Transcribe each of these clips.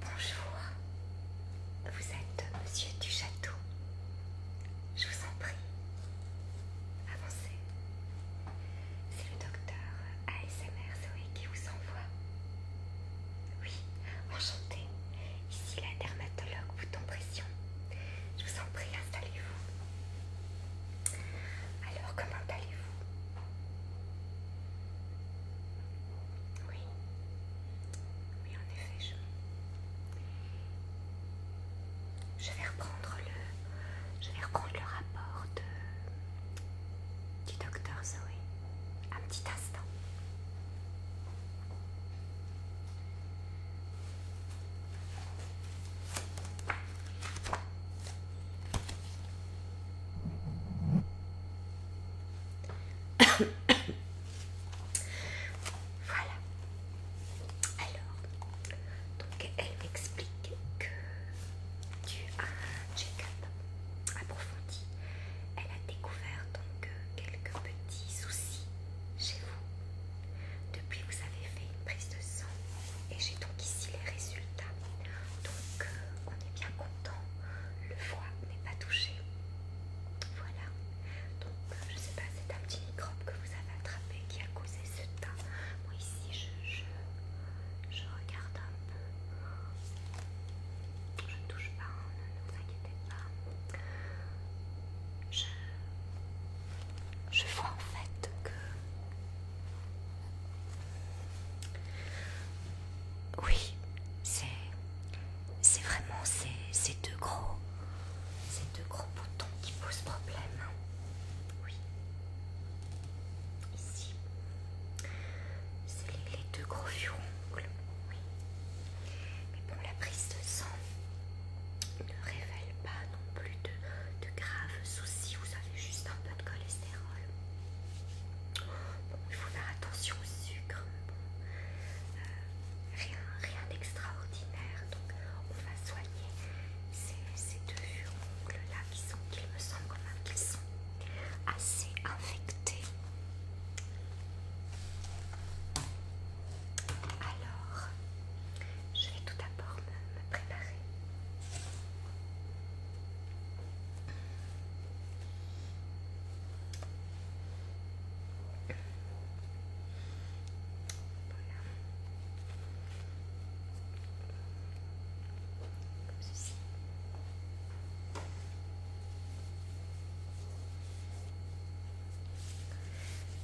Bonjour, vous êtes monsieur du château. Je vous en prie, avancez. C'est le docteur ASMR Zoé qui vous envoie. Oui, enchanté. Ici la dermatologue, bouton pression. Je vous en prie, installez-vous. Alors, comment allez-vous Oui. Oui, en effet, je... vais reprendre le... Je vais le rapport de... du docteur Zoé. Un petit instant. voilà. Alors, donc elle m'explique que tu as un check-up approfondi. Elle a découvert donc euh, quelques petits soucis chez vous. Depuis, vous avez fait une prise de sang et j'ai donc ici les résultats. Donc, euh, on est bien content. Le foie n'est pas touché. Voilà. Donc, euh, je sais pas, c'est un petit microbe que vous avez attrapé qui a causé ce tas. Moi, ici, je, je, je regarde un peu je ne touche pas, hein, ne vous inquiétez pas. Je, vois en fait que... Oui, c'est... C'est vraiment ces, deux gros... Ces deux gros boutons qui posent problème. Hein. Oui. Ici. C'est les, deux gros furons oui. Mais bon, la prise de sang ne révèle pas non plus de, graves soucis. Vous avez juste un peu de cholestérol. Bon, il faut faire attention au sucre. Euh, rien, rien d'extraordinaire. Donc, on va soigner ces, deux ongles là qui sont, qu'il me semble quand même, sont assez infectés. Alors, je vais tout d'abord me, préparer.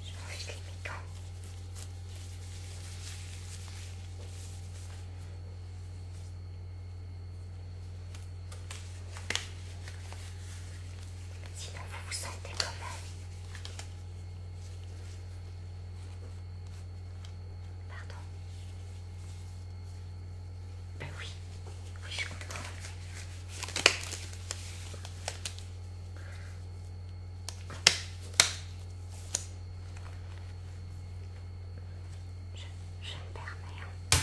Je J'enlève les mécans. Sinon, vous vous sentez comment Pardon ben oui, oui, je comprends. Je, je me permets. Hein.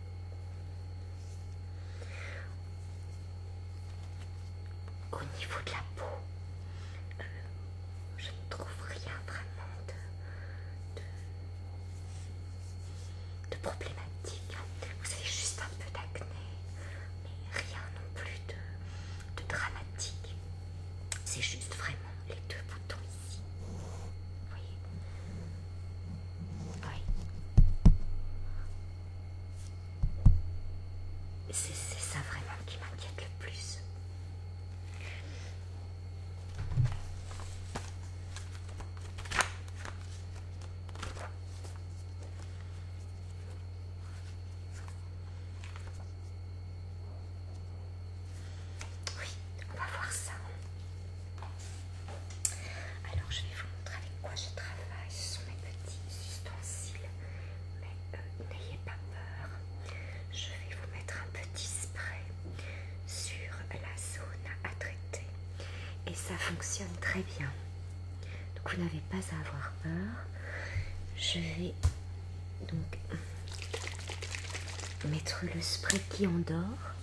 Au niveau de la peau, euh, je ne trouve rien vraiment de, problématique. Vous avez juste un peu d'acné, mais rien non plus de, dramatique. C'est juste vraiment les deux boutons ici. voyez oui. C'est ça vraiment qui m'inquiète le plus. Oui, on va voir ça. Alors je vais vous montrer avec quoi je travaille. Ce sont mes petits ustensiles, mais euh, n'ayez pas peur. Je vais vous mettre un petit spray sur la zone à traiter et ça fonctionne très bien. Donc vous n'avez pas à avoir peur. Je vais donc mettre le spray qui endort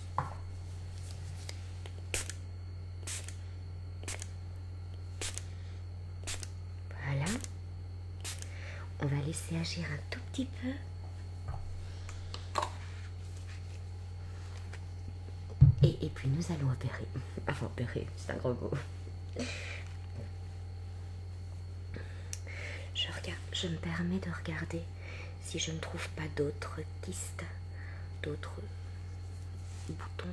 voilà. On va laisser agir un tout petit peu. Et, puis nous allons opérer. Ah opérer, c'est un gros mot. Je, je me permets de regarder si je ne trouve pas d'autres pistes, d'autres bouton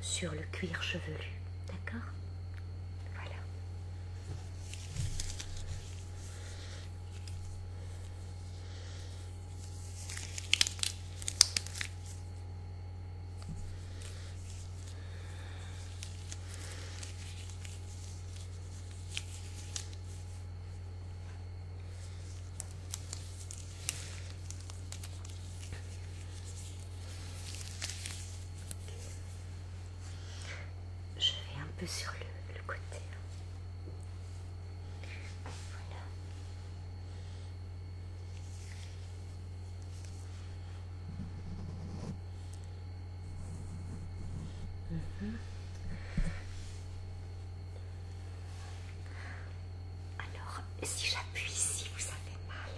sur le cuir chevelu. D'accord Voilà. Je vais un peu sur le, côté. Hein. Voilà. Mhm. Alors, si j'appuie ici, vous avez mal.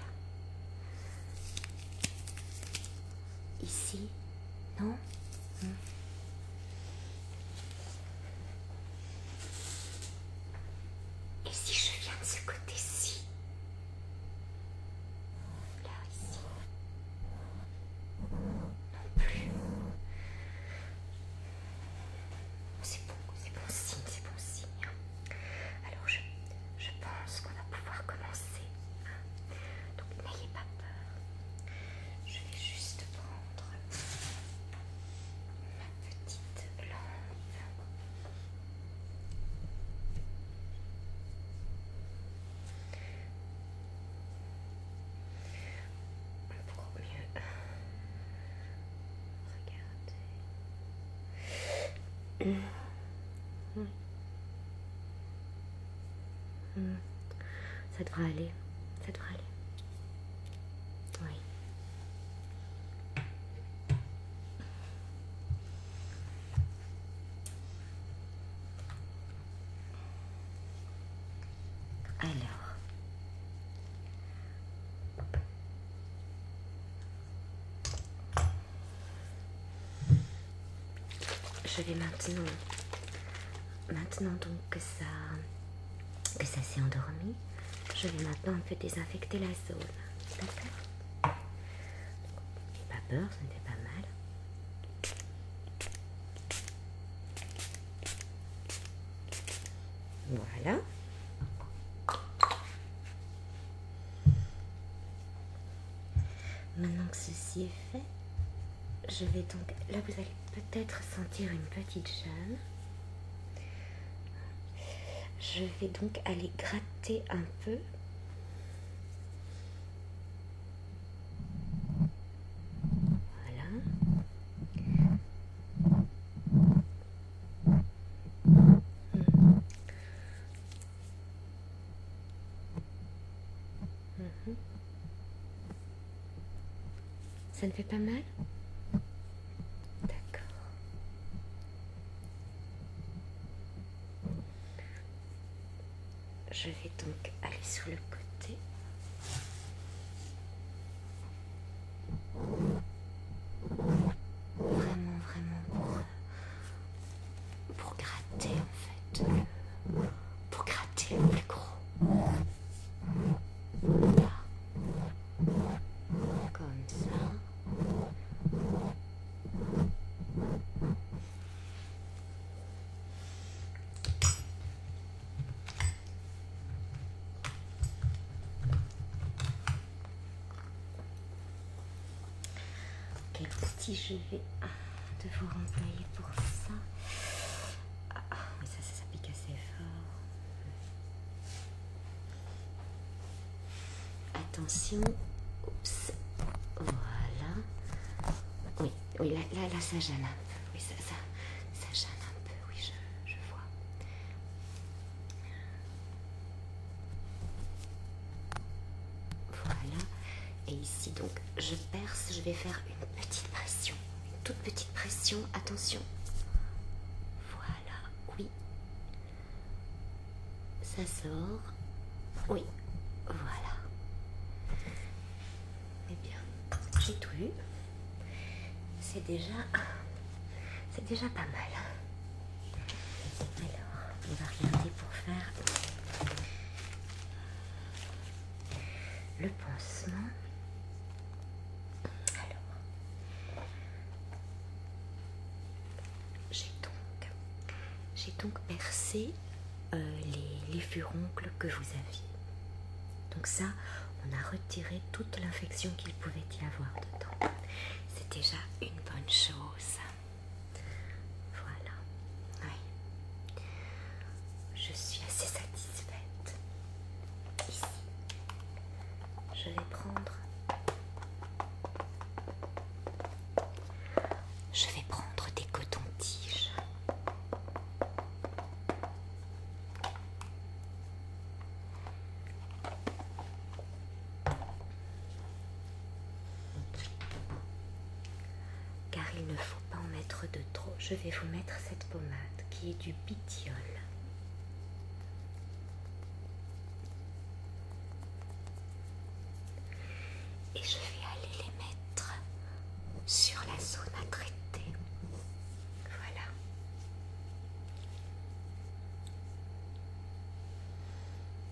Ici, non hmm. Et si je viens de ce côté-ci Là, ici Non plus. C'est bon, c'est bon signe, c'est bon signe. Alors je, pense qu'on va pouvoir commencer. Donc n'ayez pas peur. Je vais juste prendre ma petite lampe. On mieux Regardez. Ça devra aller. Ça devra aller. Oui. Alors, je vais maintenant, maintenant donc que ça, que ça s'est endormi, je vais maintenant un peu désinfecter la zone. D'accord Pas peur, ce n'était pas mal. Voilà. Maintenant que ceci est fait, je vais donc... Là, vous allez peut-être sentir une petite gêne. Je vais donc aller gratter un peu. Voilà. Mhm. Ça ne fait pas mal D'accord. Je vais donc aller sur le côté. Vraiment, vraiment euh, pour, gratter en fait. Pour gratter le plus gros. Comme ça. Quel si je vais devoir employer pour ça Ah, mais ça, ça, pique assez fort. Attention. Oups. Voilà. Oui, oui, là, là, ça gêne un peu. Oui, ça, ça, ça gêne un peu. Euh, oui, je vois. Voilà. Et ici, donc, je perce, je vais faire une petite pression. Une toute petite pression, attention. Voilà, oui. Ça sort. Oui, voilà. Eh bien, j'ai tout eu. C'est déjà... C'est déjà pas mal. Alors, on va regarder pour faire le pansement. Alors, j'ai donc, j'ai donc percé euh, les, les furoncles que vous aviez. Donc ça, on a retiré toute l'infection qu'il pouvait y avoir dedans. C'est déjà une bonne chose. Voilà. Oui. Je suis assez satisfaite. Ici, je vais prendre... Je vais prendre des cotons-tiges. Car il ne faut pas en mettre de trop. Je vais vous mettre cette pommade qui est du bitiole. Et je vais aller les mettre sur la zone à traiter. Voilà.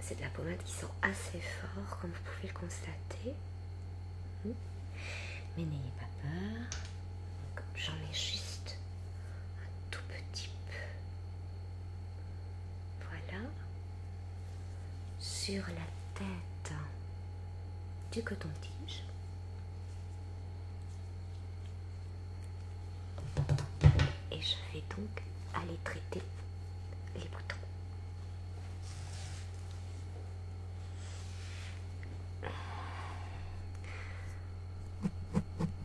C'est de la pommade qui sent assez fort, comme vous pouvez le constater. Hmm. Mais n'ayez pas peur. J'en ai juste un tout petit peu. Voilà. Sur la tête du coton-tige. Et je vais donc aller traiter les boutons.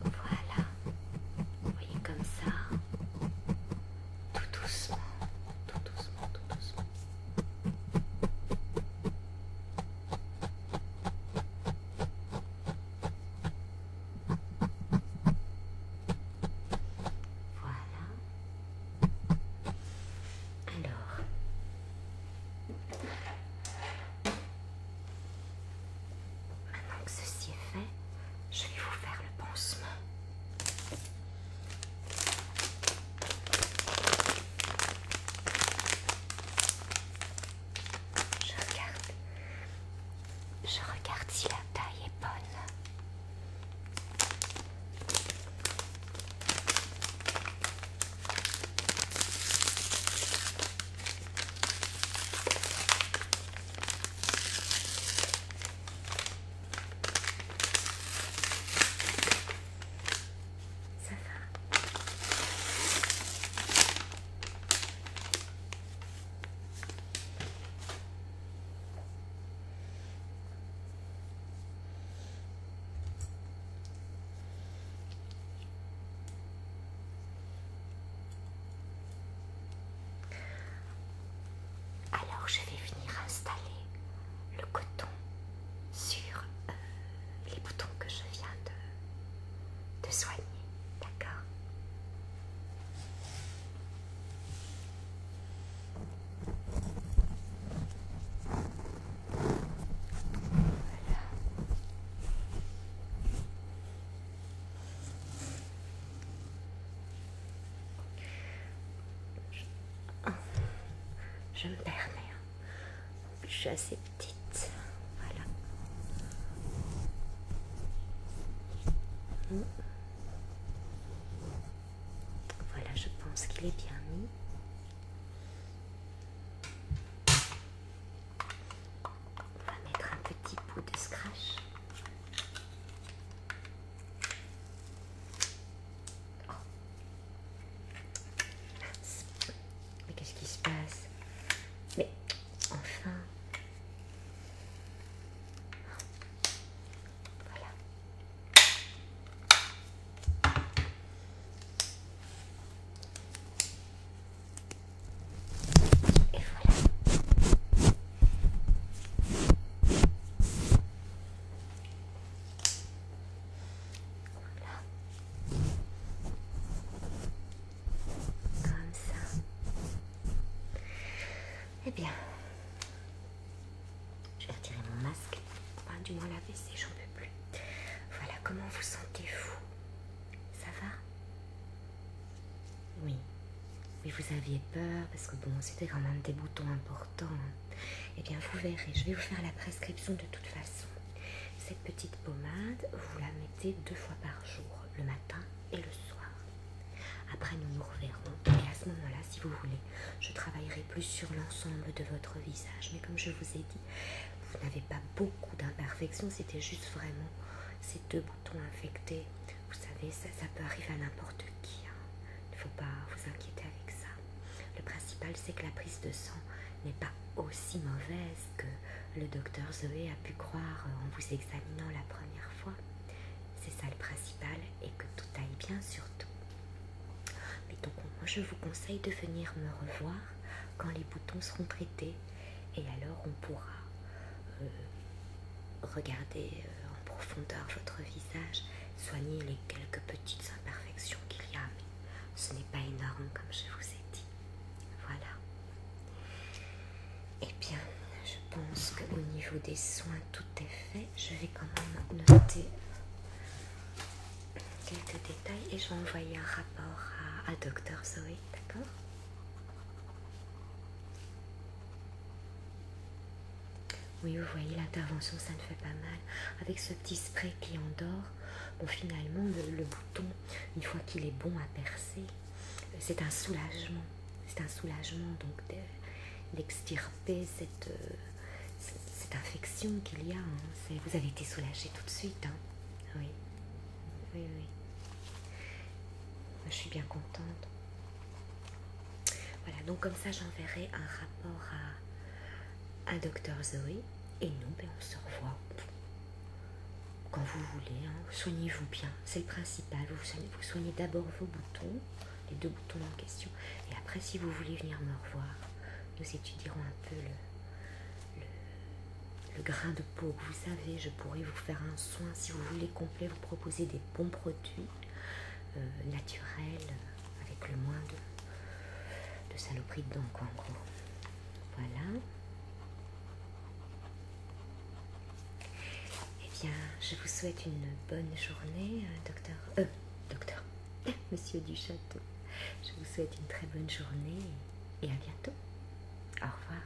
Voilà, vous voyez comme ça, tout doucement, tout doucement, tout doucement. Voilà. Alors. Maintenant que ceci est fait, je vais vous faire le pansement. Je regarde. Je si la taille est bonne alors je vais venir installer le coton sur euh, les boutons que je viens de, soigner, d'accord Je me permets hein je suis assez petite. Voilà. Hmm. Voilà, je pense qu'il est bien mis. On va mettre un petit bout de scratch. Oh. Mais qu'est-ce qui se passe Mais enfin. Voilà. Et voilà. Voilà. Comme ça. Eh bien, je vais retirer mon masque. du moins la baisser, j'en veux plus. Voilà, comment vous sentez-vous Ça va Oui. Oui, vous aviez peur parce que bon, c'était quand même des boutons importants. Hein. Eh bien, vous verrez, je vais vous faire la prescription de toute façon. Cette petite pommade, vous la mettez deux fois par jour, le matin et le soir. Après, nous nous reverrons. Et à ce moment-là, si vous voulez, je travaillerai plus sur l'ensemble de votre visage. Mais comme je vous ai dit, vous n'avez pas beaucoup d'imperfections. C'était juste vraiment ces deux boutons infectés. Vous savez, ça, ça peut arriver à n'importe qui. Hein. Il ne faut pas vous inquiéter avec ça. Le principal, c'est que la prise de sang n'est pas aussi mauvaise que le docteur Zoé a pu croire en vous examinant la première fois. C'est ça le principal et que tout aille bien surtout. Mais donc moi je vous conseille de venir me revoir quand les boutons seront traités et alors on pourra euh, regarder euh, en profondeur votre visage, soigner les quelques petites imperfections qu'il y a. Ce n'est pas énorme comme je vous ai dit. Voilà. et eh bien, je pense qu'au niveau des soins, tout est fait. Je vais quand même noter quelques détails et je vais envoyer un rapport à, Docteur Zoé, d'accord oui, vous voyez, l'intervention, ça ne fait pas mal. Avec ce petit spray qui endort, bon finalement, le, bouton, une fois qu'il est bon à percer, c'est un soulagement. C'est un soulagement donc d'extirper cette, euh, cette infection qu'il y a. Hein. Vous avez été soulagé tout de suite. Hein. Oui. Oui, oui. Je suis bien contente. Voilà, donc comme ça j'enverrai un rapport à à, Docteur Zoé. Et nous, on se revoit quand vous voulez. Hein, soignez-vous bien, c'est le principal. Vous soignez, vous soignez d'abord vos boutons, les deux boutons en question. Et après, si vous voulez venir me revoir, nous étudierons un peu le, grain de peau. Vous savez, je pourrais vous faire un soin si vous voulez complet, vous proposer des bons produits euh, naturels avec le moins de, de saloperies de en gros. Voilà. Eh bien, je vous souhaite une bonne journée, euh, docteur. Euh, docteur, monsieur du château. Je vous souhaite une très bonne journée et à bientôt. Au revoir.